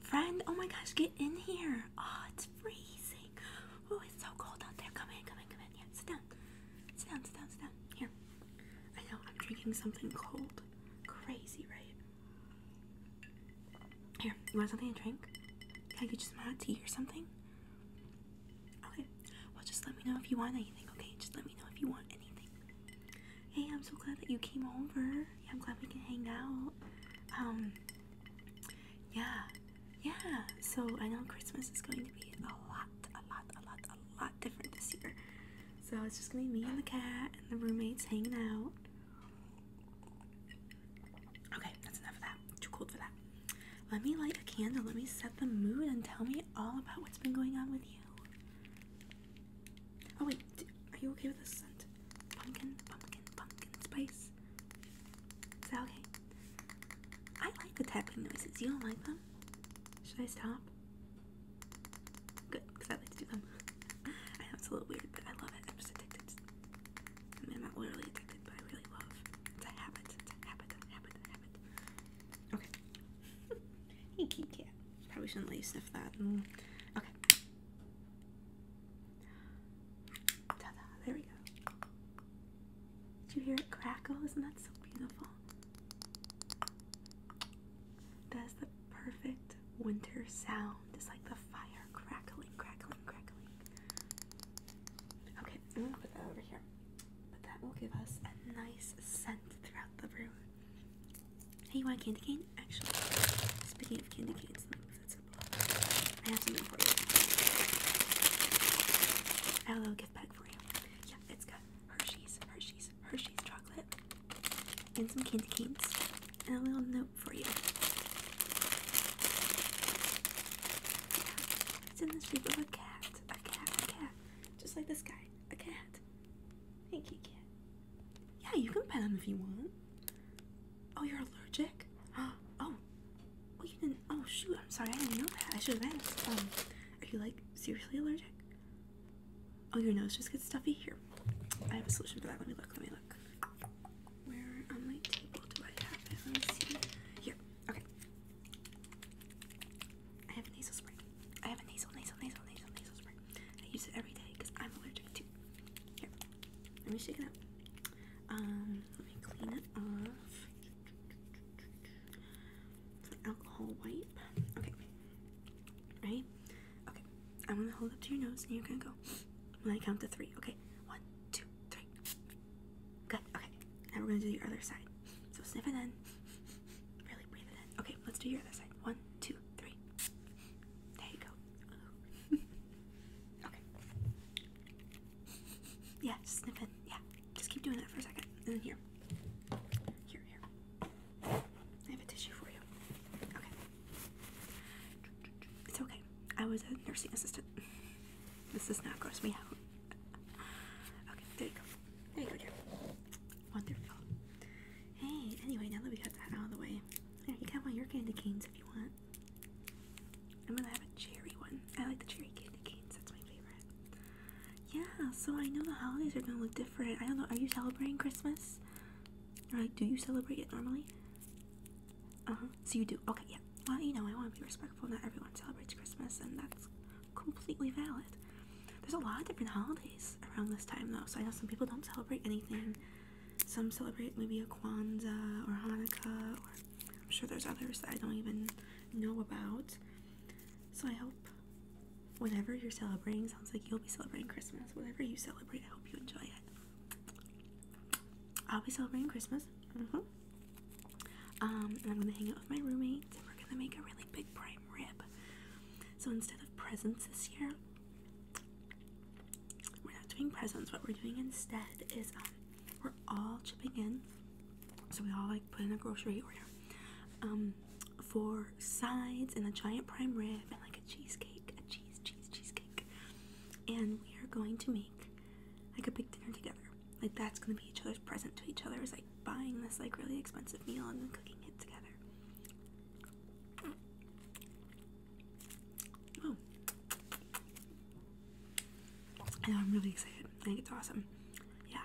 Friend, oh my gosh, get in here. Oh, it's freezing. Oh, it's so cold out there. Come in, come in, come in. Yeah, sit down. Sit down, sit down, sit down. Here. I know, I'm drinking something cold. Crazy, right? Here, you want something to drink? Can I get you some hot tea or something? Okay. Well, just let me know if you want anything, okay? Just let me know if you want anything. Hey, I'm so glad that you came over. Yeah, I'm glad we can hang out. Um, yeah, yeah. So I know Christmas is going to be a lot, a lot, a lot, a lot different this year. So it's just gonna be me and the cat and the roommates hanging out. Okay, that's enough of that. Too cold for that. Let me light a candle. Let me set the mood and tell me all about what's been going on with you. Oh wait, are you okay with the scent? Pumpkin, pumpkin, pumpkin spice. Is that okay? I like the tapping noises. You don't like them? Should I stop? Good, because I like to do them. I know it's a little weird, but I love it. I'm just addicted. I mean, am not literally addicted, but I really love. It's a habit. It's a habit. A habit. A habit. Okay. Hey, kitty cat. Probably shouldn't let you sniff that. Mm. Okay. Ta-da! There we go. Did you hear it crackle? Isn't that so beautiful? That's the perfect winter sound. It's like the fire crackling, crackling, crackling. Okay, I'm gonna put that over here. But that will give us a nice scent throughout the room. Hey, you want candy cane? Actually, speaking of candy canes, I have something for you. I have a little gift bag for you. Yeah, it's got Hershey's, Hershey's, Hershey's chocolate, and some candy canes, and a little note for you. it's in the shape of a cat, a cat, a cat, just like this guy, a cat. Thank you, cat. Yeah, you can pet him if you want. Oh, you're allergic? Oh, oh, you didn't. Oh, shoot, I'm sorry, I didn't know that. I should have asked. Um, are you like seriously allergic? Oh, your nose just gets stuffy? Here, I have a solution for that. Let me look, let me look. Where on my table do I have it? Let me see. Here, okay. I have a nasal spray. I have a nasal, nasal, nasal, nasal, nasal spray. I use it every day because I'm allergic to. Here, let me shake it up. Um, let me clean it off. alcohol wipe. Okay. Right? Okay. I'm gonna hold up to your nose and you're gonna go when I count to three. Okay. One, two, three. Good. Okay. Now we're gonna do the other side. So sniff it in. Okay, let's do your other side. One, two, three. There you go. okay. Yeah, just Yeah, just keep doing that for a second. And then here. Here, here. I have a tissue for you. Okay. It's okay. I was a nursing assistant. This does not gross me out. Okay, there you go. There Wonderful. Hey, anyway, now that we got that out of the way, you can have one your candy canes if you want. I'm gonna have a cherry one. I like the cherry candy canes, that's my favorite. Yeah, so I know the holidays are gonna look different. I don't know, are you celebrating Christmas? Or like, do you celebrate it normally? Uh huh. So you do. Okay, yeah. Well, you know, I want to be respectful. Not everyone celebrates Christmas, and that's completely valid. There's a lot of different holidays around this time though, so I know some people don't celebrate anything. Some celebrate maybe a Kwanzaa or Hanukkah, or I'm sure there's others that I don't even know about. So I hope whatever you're celebrating sounds like you'll be celebrating Christmas. Whatever you celebrate, I hope you enjoy it. I'll be celebrating Christmas. Mm -hmm. Um, and I'm gonna hang out with my roommates. And we're gonna make a really big prayer rib. So instead of presents this year, we're not doing presents. What we're doing instead is um, we're all chipping in. So we all like put in a grocery order um, for sides and a giant prime rib and like a cheesecake, a cheese, cheese, cheesecake. And we are going to make like a big dinner together. Like that's gonna be each other's present to each other. Is buying this like really expensive meal and then cooking it together. Oh. I know I'm really excited. I think it's awesome. Yeah.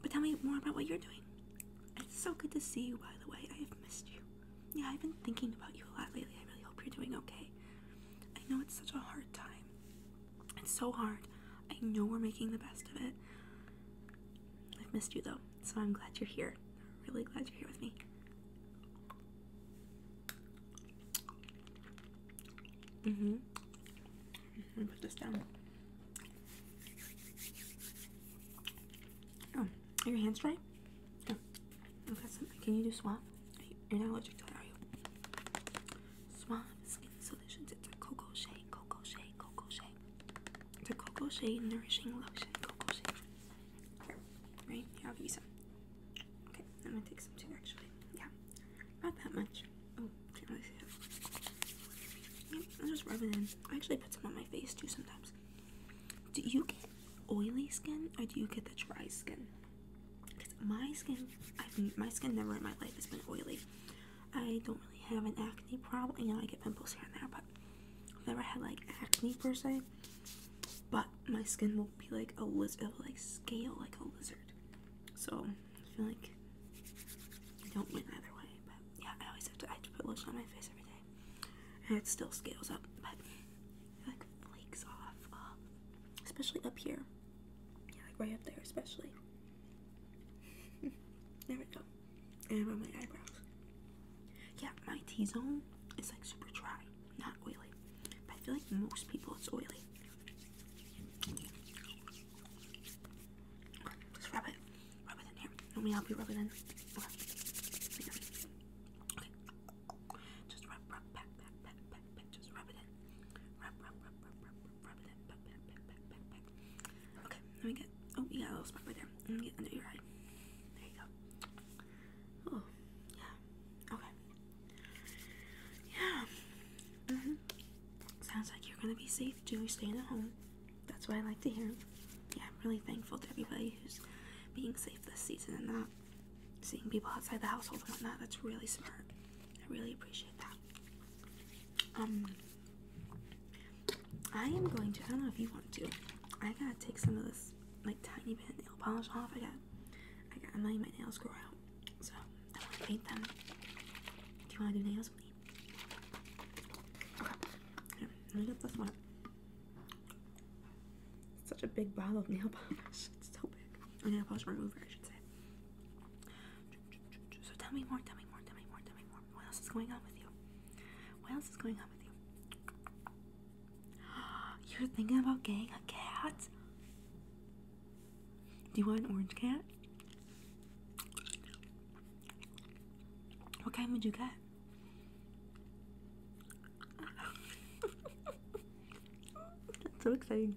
But tell me more about what you're doing. It's so good to see you, by the way. I have missed you. Yeah, I've been thinking about you a lot lately. I really hope you're doing okay. I know it's such a hard time. It's so hard. I know we're making the best of it. I've missed you though, so I'm glad you're here. Really glad you're here with me. Mm-hmm. mm-hmm. put this down. Oh, are your hands dry? Can you do swab? You're not allergic to it, are you? Swab skin solution it's a cocoa shea, cocoa shea, cocoa shea. It's a cocoa shea nourishing lotion, cocoa shea. right? Here, I'll give you some. Okay, I'm gonna take some too, actually. Yeah, not that much. Oh, can't really see that. I'll just rub it in. I actually put some on my face too sometimes. Do you get oily skin or do you get the dry skin? Because my skin, my skin never in my life has been oily. I don't really have an acne problem. You know, I get pimples here and there, but I've never had like acne per se. But my skin will be like a lizard, like scale, like a lizard. So I feel like I don't win either way. But yeah, I always have to. I have to put lotion on my face every day, and it still scales up, but like flakes off, uh, especially up here. Yeah, like right up there, especially. there we go. And about my eyebrows. Yeah, my T zone is like super dry, not oily. But I feel like most people it's oily. just rub it. Rub it in here. Let me help you rub it in. Okay. Just rub, rub, pat, pat, pat, pat, pat. Just rub it in. rub, rub, rub, rub, rub. Okay, let me get. Oh, we got a little spot right there. Let me get under your eye. There you go. Oh, yeah. Okay. Yeah. Mhm. Sounds like you're gonna be safe doing staying at home. That's what I like to hear. Yeah, I'm really thankful to everybody who's being safe this season and not seeing people outside the household and whatnot. That's really smart. I really appreciate that. Um, I am going to. I don't know if you want to. I gotta take some of this like tiny bit nail polish off. I got. I got. I'm letting my nails grow out, so I want to paint them. Do you want to do nails with me? Okay. Here, let me get this one. Such a big bottle of nail polish. It's so big. Or nail polish remover, I should say. So tell me more, tell me more, tell me more, tell me more. What else is going on with you? What else is going on with you? You're thinking about getting a cat? Do you want an orange cat? What kind would you get? That's so exciting.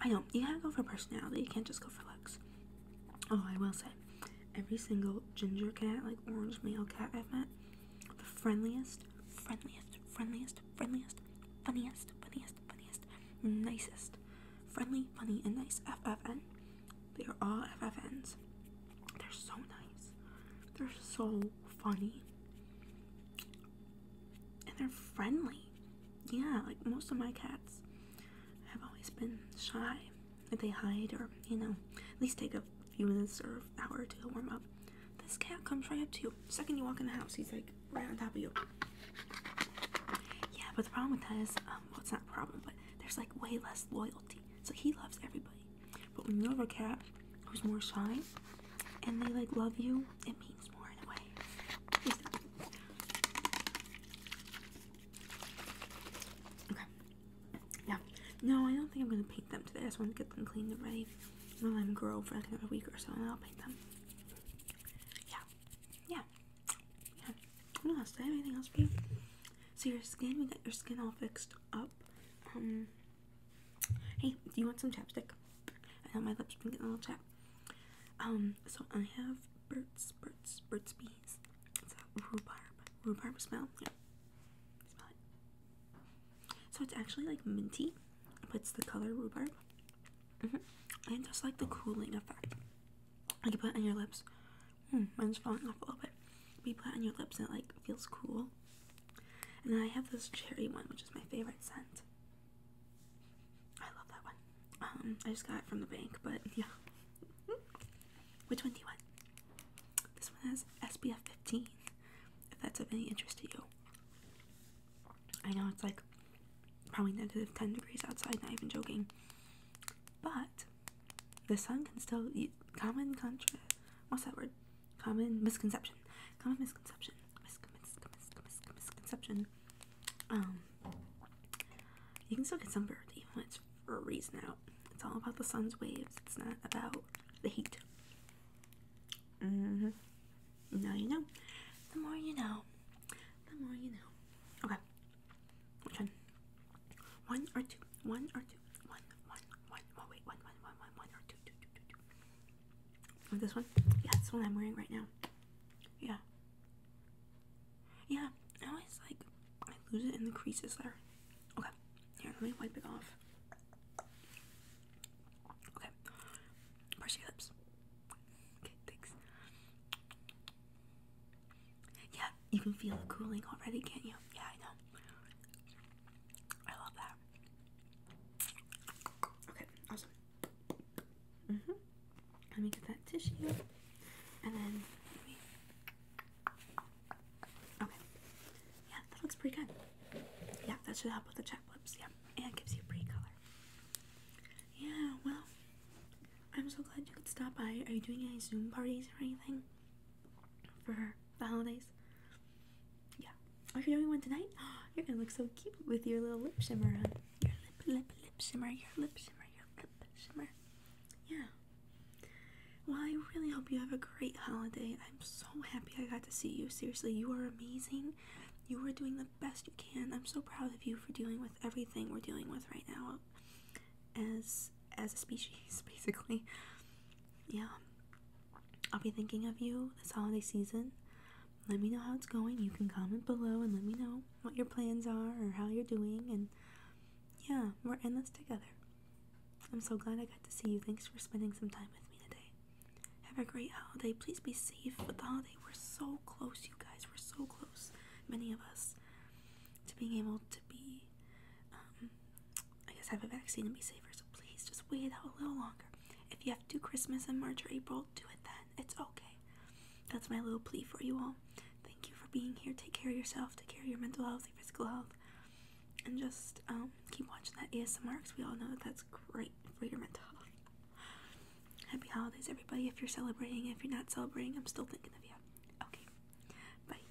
I know, you gotta go for personality, you can't just go for looks. Oh, I will say, every single ginger cat, like orange male cat I've met, the friendliest, friendliest, friendliest, friendliest, funniest, funniest, funniest, nicest, friendly, funny, and nice FFN. They are all FFNs. They're so nice. They're so funny and they're friendly. Yeah, like most of my cats have always been shy. Like they hide or, you know, at least take a few minutes or an hour to warm up. This cat comes right up to you. second you walk in the house, he's like right on top of you. Yeah, but the problem with that is, um, well, it's not a problem, but there's like way less loyalty. So he loves everybody. But when you have a cat who's more shy and they like love you it means more in a way. Okay. Yeah. No, I don't think I'm gonna paint them today. I just want to get them cleaned and ready. I'm gonna let them grow for like another week or so, and I'll paint them. Yeah. Yeah. Yeah. What else? Do have anything else for you? So your skin, we got your skin all fixed up. Um. Hey, do you want some chapstick? I know my lips been getting a little chap. Um, so I have Burt's, Burt's, Burt's Bees. It's a rhubarb, rhubarb smell. Yeah, smell it. So it's actually like minty, It puts the color rhubarb. Mm-hmm. And just like the cooling effect. Like you put it on your lips. Hmm, mine's falling off a little bit. But put it on your lips and it like feels cool. And then I have this cherry one, which is my favorite scent. I love that one. Um, I just got it from the bank, but yeah. Which one do you want? This one has SPF 15, if that's of any interest to you. I know it's like probably negative 10 degrees outside, not even joking. But the sun can still, common contrast, what's that word? common misconception, common misconception, misconception. Um, you can still get sunburned even when it's freezing out. It's all about the sun's waves. It's not about the heat. hmm Now you know. The more you know, the more you know. Okay. Which one? One or two? One or two? One, One. Oh, wait. One or Two. Like this one? Yeah, that's the one I'm wearing right now. Yeah. Yeah, I always like I lose it in the creases there. Okay, here, let me wipe it off. Okay, brush your lips. Okay, thanks. Yeah, you can feel it cooling already, can't you? Yeah, I know. I love that. Okay, awesome. -hmm. Let me get that tissue and then Okay. Yeah, that looks pretty good. Yeah, that should help with the check lips. Yeah, and gives you pretty color. Yeah, well, I'm so glad you could stop by. Are you doing any Zoom parties or anything? For the holidays. Yeah. Are you only one tonight? You're gonna look so cute with your little lip shimmer on. Your lip, lip, lip shimmer, your lip shimmer, your lip shimmer. Yeah. Well, I really hope you have a great holiday. I'm so happy I got to see you. Seriously, you are amazing. You are doing the best you can. I'm so proud of you for dealing with everything we're dealing with right now as as a species, basically. Yeah. I'll be thinking of you this holiday season. Let me know how it's going. You can comment below and let me know what your plans are or how you're doing. And yeah, we're in this together. I'm so glad I got to see you. Thanks for spending some time with me today. Have a great holiday. Please be safe with the holiday. We're so close, you guys. We're so close, many of us, to being able to be um, I guess I have a vaccine and be safer, so please just wait out a little longer. If you have to Christmas in March or April, do it then. It's okay. That's my little plea for you all. Thank you for being here. Take care of yourself. Take care of your mental health, your physical health. And just um, keep watching that ASMR because we all know that that's great for your mental health. Happy holidays, everybody. If you're celebrating, if you're not celebrating, I'm still thinking of you. Okay. Bye.